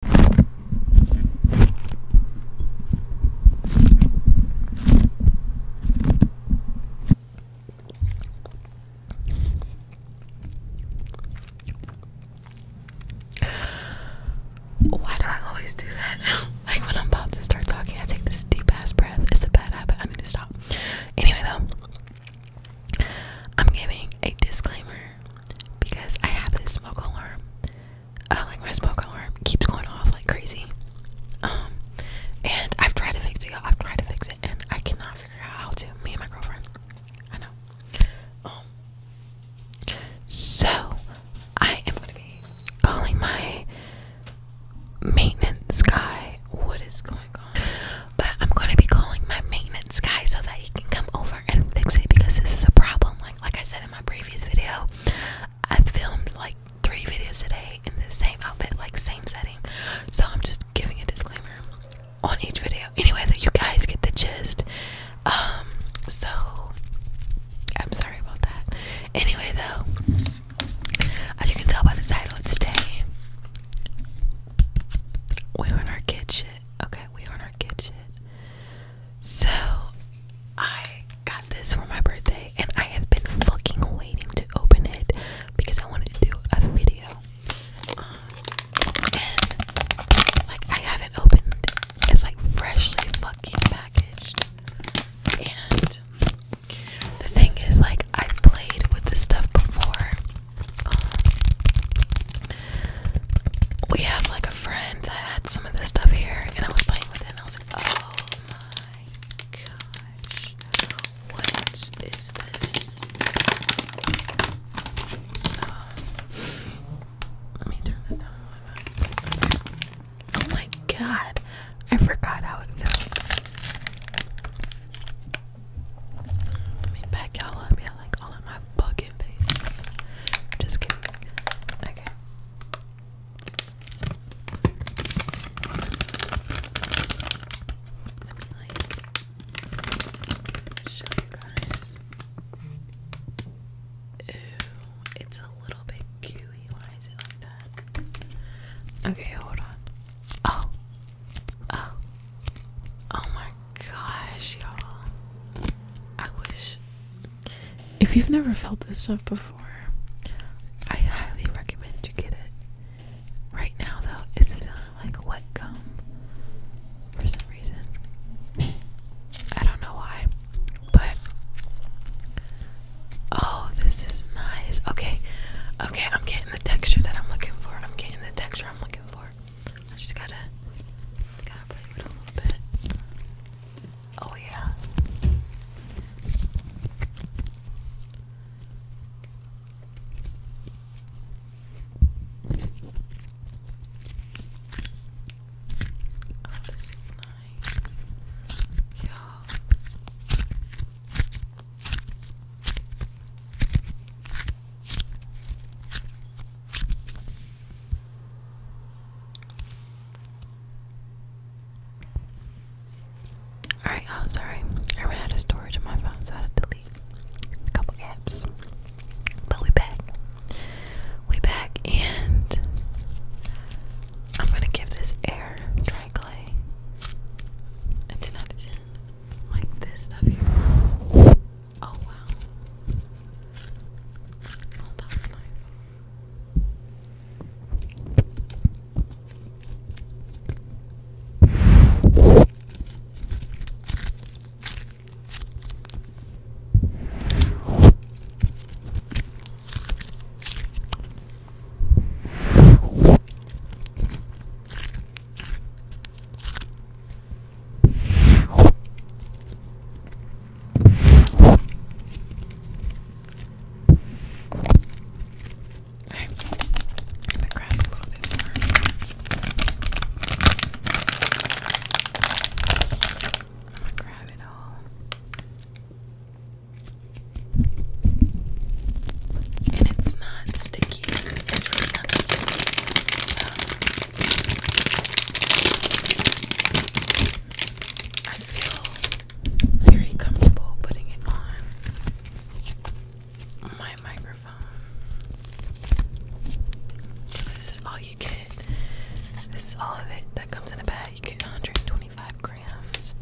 Why do I always do that? like when I'm about to start talking, I take this deep ass breath. It's a bad habit. I need to stop. Anyway, though, I'm giving a disclaimer because I have this smoke alarm. Uh, like my smoke alarm keeps going off like crazy. Um, and I've tried to fix it. I've tried to fix it, and I cannot figure out how to. Me and my girlfriend. I know. Um, so I am gonna be calling my maintenance guy. What is going on? But I'm gonna be calling my maintenance guy so that he can come over and fix it because this is a problem. Like I said in my previous video, I filmed like three videos today in the same outfit, like same setting. So I'm just giving a disclaimer on each video. Anyway, though you guys get the gist. Um, so I'm sorry about that. Anyway, though, as you can tell by the title today, we are in our kitchen. Okay, we are in our kitchen. So I got this for my birthday and I have been fucking waiting to open it because I wanted to do a video. Um, and like I haven't opened it. It's like freshly fucking packaged. And the thing is like i played with this stuff before. Um, we have like a friend that had some of this stuff here, and I was playing with it, I was like, oh my gosh, what is this? So, let me turn that down Oh my god, I forgot how it feels. Let me back y'all up, yeah, like all of my fucking face. Just kidding. Okay. Let me like show you guys. Ooh, it's a little bit gooey. Why is it like that? Okay, hold on. Oh, oh, oh my gosh, y'all. I wish. If you've never felt this stuff before, I highly recommend you get it. Right now, though, it's feeling like wet gum for some reason. I don't know why, but. Oh, this is nice. Okay, okay, I'm getting the texture that I'm looking for. I'm getting the texture I'm looking for. I just gotta, gotta play it a little bit. Oh yeah. Oh, this is nice. Yeah. Alright, I'm oh, sorry. I ran storage on my phone, so I had to delete a couple apps. But we back. We back, and I'm gonna give this air dry clay a 10 out of 10. Like this stuff here. Oh wow. Oh, nice. Alright, I'm gonna grab a little bit more. I'm gonna grab it all. And it's not sticky. I feel very comfortable putting it on my microphone. This is all you get. This is all of it that comes in a bag. You get 125 grams.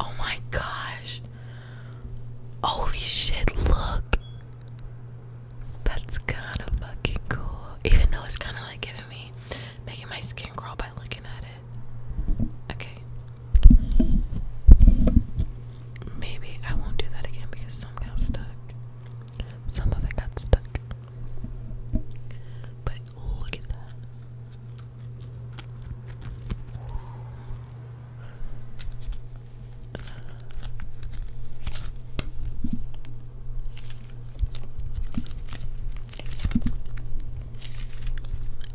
Oh my gosh. Holy shit, look. That's kind of fucking cool. Even though it's kind of like giving me making my skin crawl by looking at it. Okay. Maybe I won't do that again because some got stuck. Some of it got stuck. But look at that.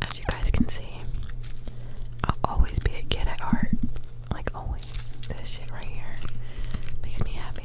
As you guys can see, I'll always be a kid at heart. Like always. This shit right here makes me happy.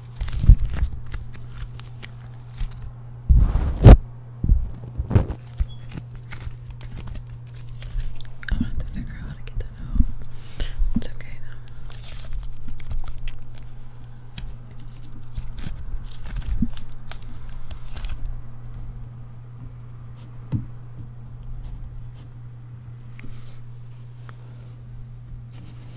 I'm gonna have to figure out how to get that out. It's okay though.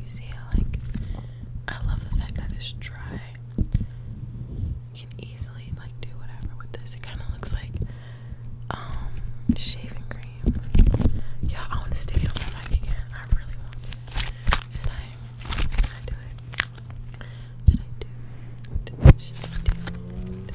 You see how like I love the fact that it's dry. You can easily like do whatever with this. It kinda looks like um shaving cream. Yeah, I wanna stick it on my mic again. I really want to. Should I should I do it? Should I do Should I do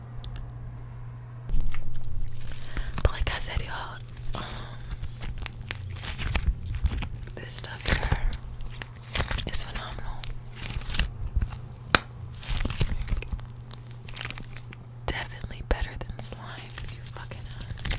But like I said, y'all, um, this stuff here is phenomenal. Definitely better than slime, if you fucking ask me.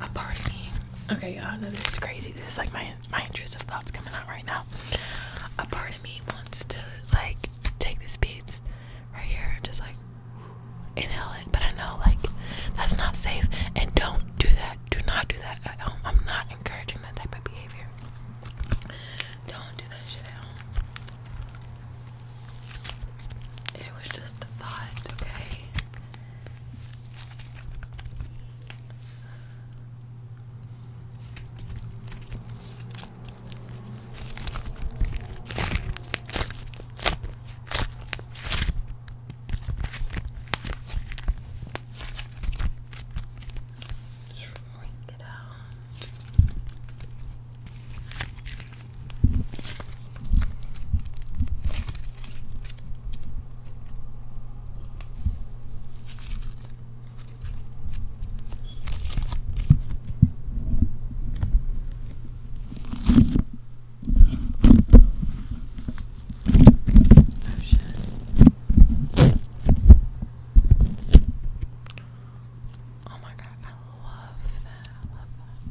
A part of me. Okay, I know this is crazy. This is like my my intrusive thoughts coming out right now. A part of me wants to like take these beads right here and just like inhale it. But I know, like, that's not safe. And don't do that. Do not do that I'm not encouraging that type of behavior. Don't do that shit It was just a thought, okay? Just rolling it out. Okay. Oh shit. Oh my god, I love that. I love that.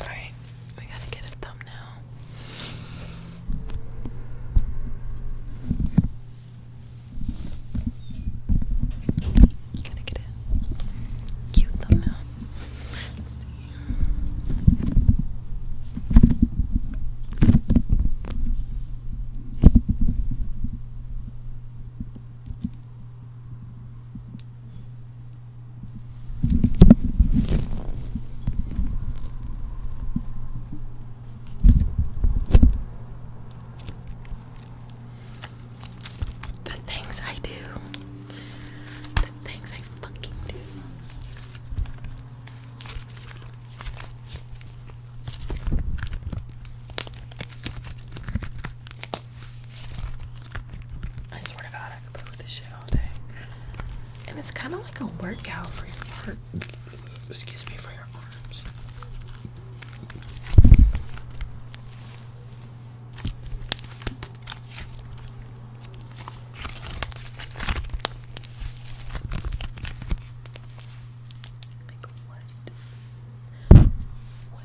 All right, we gotta get a thumbnail. Gotta get it. Cute thumbnail. Let's see. The things I do. The things I fucking do. I swear to God, I could play this shit all day. And it's kind of like a workout for your heart. Excuse me, for your arms. Like what? What?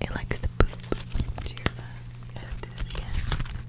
It likes to poop. Cheer back. I have to do it again.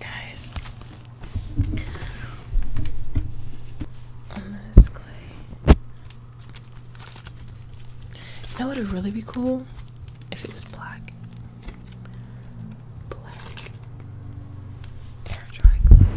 Guys, this clay, you know what would really be cool if it was black black air dry glue.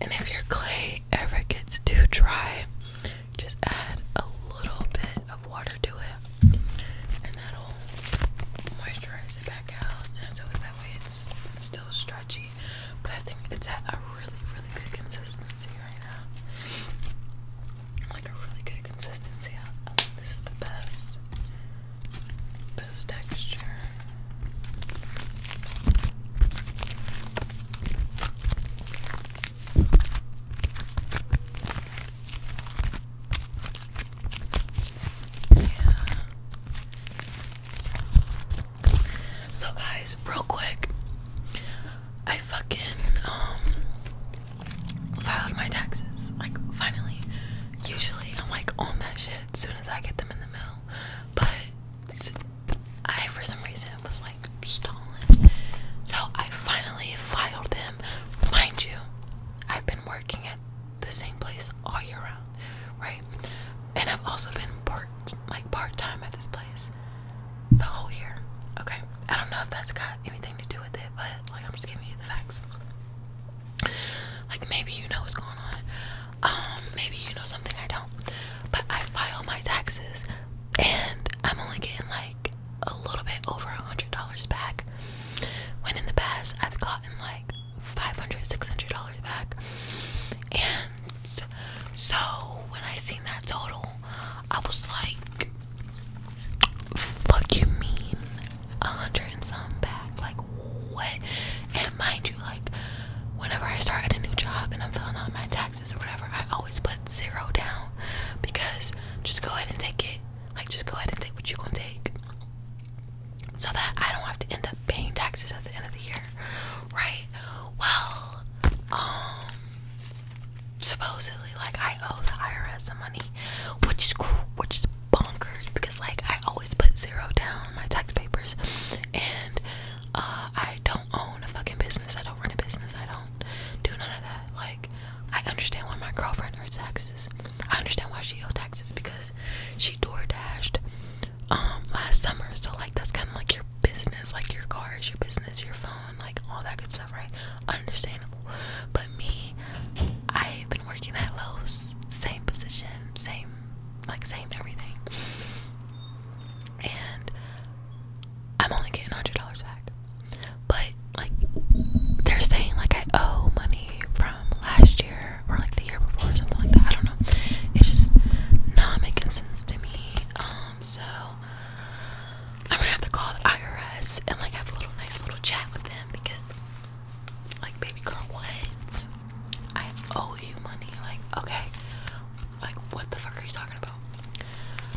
And if your clay ever gets too dry, just add a little bit water to it, and that'll moisturize it back out. And so that way it's, still stretchy, but I think it's at a really, really good consistency right now. Like a really good consistency. I think this is the best, best texture. So guys, real quick, I fucking um, filed my taxes. Like finally. Usually I'm like on that shit as soon as I get them in the mail. But I for some reason was like stolen. So I finally filed them. Mind you, I've been working at the same place all year round, right? And I've also been part like part time at this place the whole year. Okay. I don't know if that's got anything to do with it, but like I'm just giving you the facts. Like maybe you know what's going on. Um, maybe you know something I don't. But I file my taxes and I'm only getting like a little bit over a hundred dollars back when in the past I've gotten like 500 600 dollars back and so when I seen that total I was like fuck you mean a hundred and some back like what and mind you like whenever I start at a new job and I'm filling out my taxes or whatever I always put zero down because just go ahead and take it like, just go ahead and take what you're gonna take, so that I don't have to end up paying taxes at the end of the year, right? Well, um, supposedly, like I owe the IRS some money, which is which is bonkers because like I always put zero down on my tax papers, and uh, I don't own a fucking business. I don't run a business. I don't do none of that. Like I understand why my girlfriend earns taxes. I understand why she owes taxes because she door dashed um, last summer. So like that's kinda like your business, like your cars, your business, your phone, like all that good stuff, right? Understandable. But me, I've been working at Lowe's, same position, same like same everything. And I'm only getting hundred dollars back. But like they're saying like I owe money from last year or like the year before or something like that. I don't know. It's just not making sense to me. Um so I'm gonna have to call the IRS and like have a little nice little chat with them because like baby girl what? I owe you money, like okay. Like what the fuck are you talking about?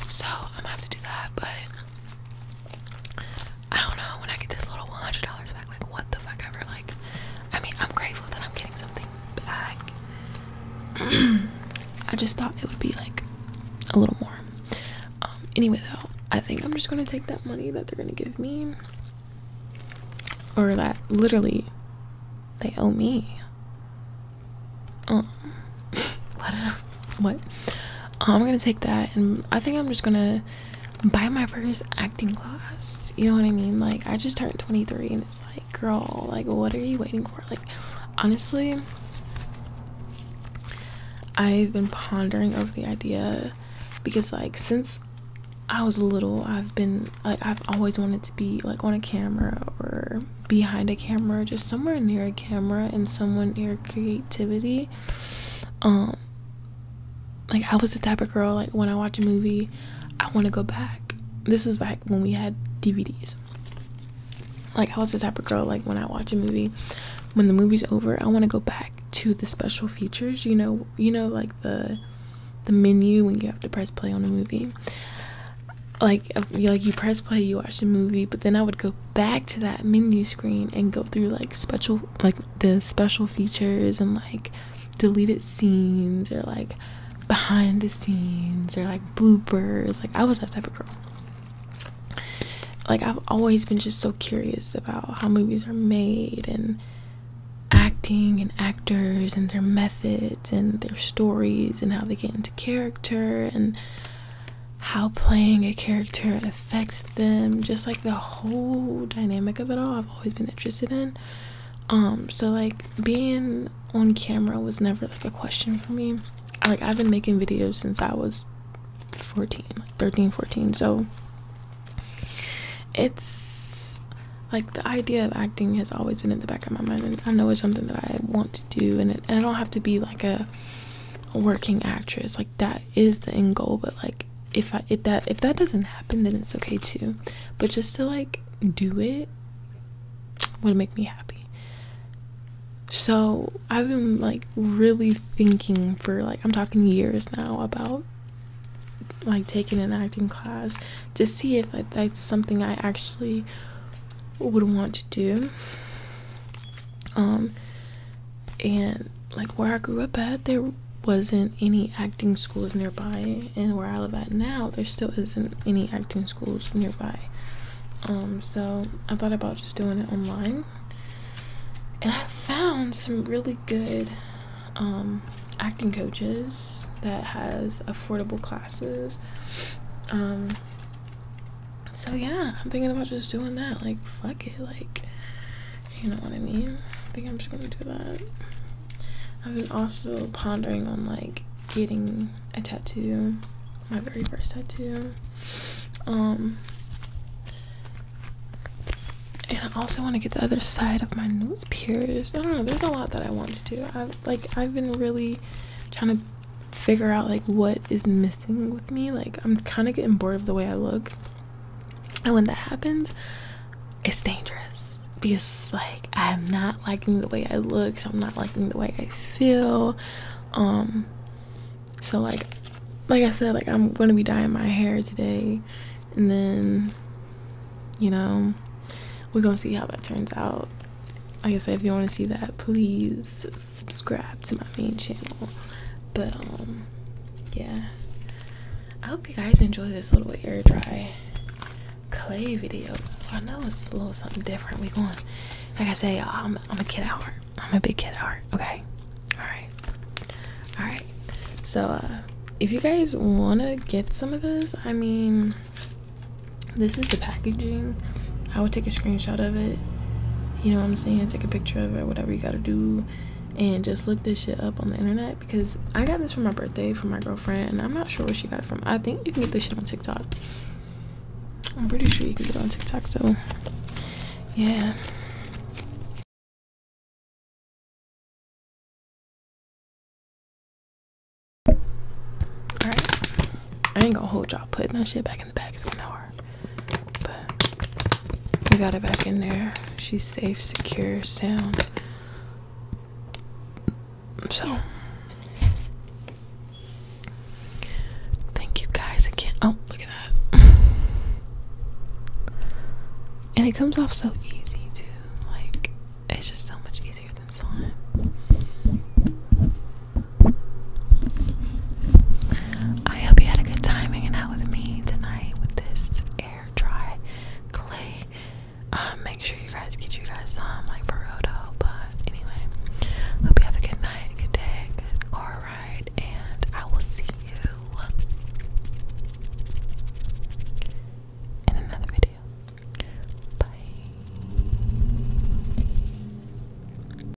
So I'm gonna have to do that, but I don't know when I get this little $100 back, like, what the fuck ever. Like, I mean, I'm grateful that I'm getting something back. I just thought it would be like a little more. Um, anyway, though, I think I'm just gonna take that money that they're gonna give me, or that literally they owe me. Um, what? what i'm gonna take that and i think i'm just gonna buy my first acting class you know what i mean like i just turned 23 and it's like girl like what are you waiting for like honestly i've been pondering over the idea because like since i was little i've been like i've always wanted to be like on a camera or behind a camera just somewhere near a camera and someone near creativity um, like I was the type of girl like when I watch a movie, I want to go back. This was back when we had DVDs. Like I was the type of girl like when I watch a movie, when the movie's over, I want to go back to the special features. You know, you know like the the menu when you have to press play on a movie. Like like you press play, you watch the movie, but then I would go back to that menu screen and go through like special like the special features and like deleted scenes or like behind the scenes or like bloopers like i was that type of girl like i've always been just so curious about how movies are made and acting and actors and their methods and their stories and how they get into character and how playing a character affects them, just like the whole dynamic of it all. I've always been interested in. Um, so like being on camera was never like a question for me. Like I've been making videos since I was 14, 13, 14. So it's like the idea of acting has always been in the back of my mind and I know it's something that I want to do and and I don't have to be like a working actress. Like that is the end goal but like if i if that if that doesn't happen then it's okay too but just to like do it would make me happy so i've been like really thinking for like i'm talking years now about like taking an acting class to see if that's something i actually would want to do um and like where I grew up at, there wasn't any acting schools nearby, and where I live at now, there still isn't any acting schools nearby. Um, so I thought about just doing it online, and I found some really good um, acting coaches that has affordable classes. Um, so yeah, I'm thinking about just doing that. Like, fuck it. Like, you know what I mean? I think I'm just gonna do that. I've been also pondering on like getting a tattoo, my very first tattoo. Um, and I also want to get the other side of my nose pierced. I don't know. There's a lot that I want to do. I've like I've been really trying to figure out like what is missing with me like i'm kind of getting bored of the way i look and when that happens it's dangerous because like i'm not liking the way i look so i'm not liking the way i feel um so like like i said like i'm gonna be dyeing my hair today and then you know we're gonna see how that turns out like i said if you want to see that please subscribe to my main channel. But um yeah. I hope you guys enjoy this little air dry clay video. I know it's a little something different. We going like I say, I'm a kid heart. I'm a big kid heart. okay? Alright. Alright. So uh if you guys wanna get some of this, I mean this is the packaging I would take a screenshot of it. You know what I'm saying? Take a picture of it, whatever you gotta do, and just look this shit up on the internet because I got this for my birthday from my girlfriend, and I'm not sure where she got it from. I think you can get this shit on TikTok. I'm pretty sure you can get it on TikTok, so yeah. Alright. I ain't gonna hold y'all putting that shit back in back is one But we got her back in there. She's safe, secure, sound. So thank you guys again. Oh, look at that. And it comes off so easy too. Like it's just so much easier than slime. I hope you had a good time hanging out with me tonight with this air dry clay. Um, make sure you guys get you guys some like Barodo. But anyway, hope you have a good night, good day, good car ride, and I will see you in another video. Bye.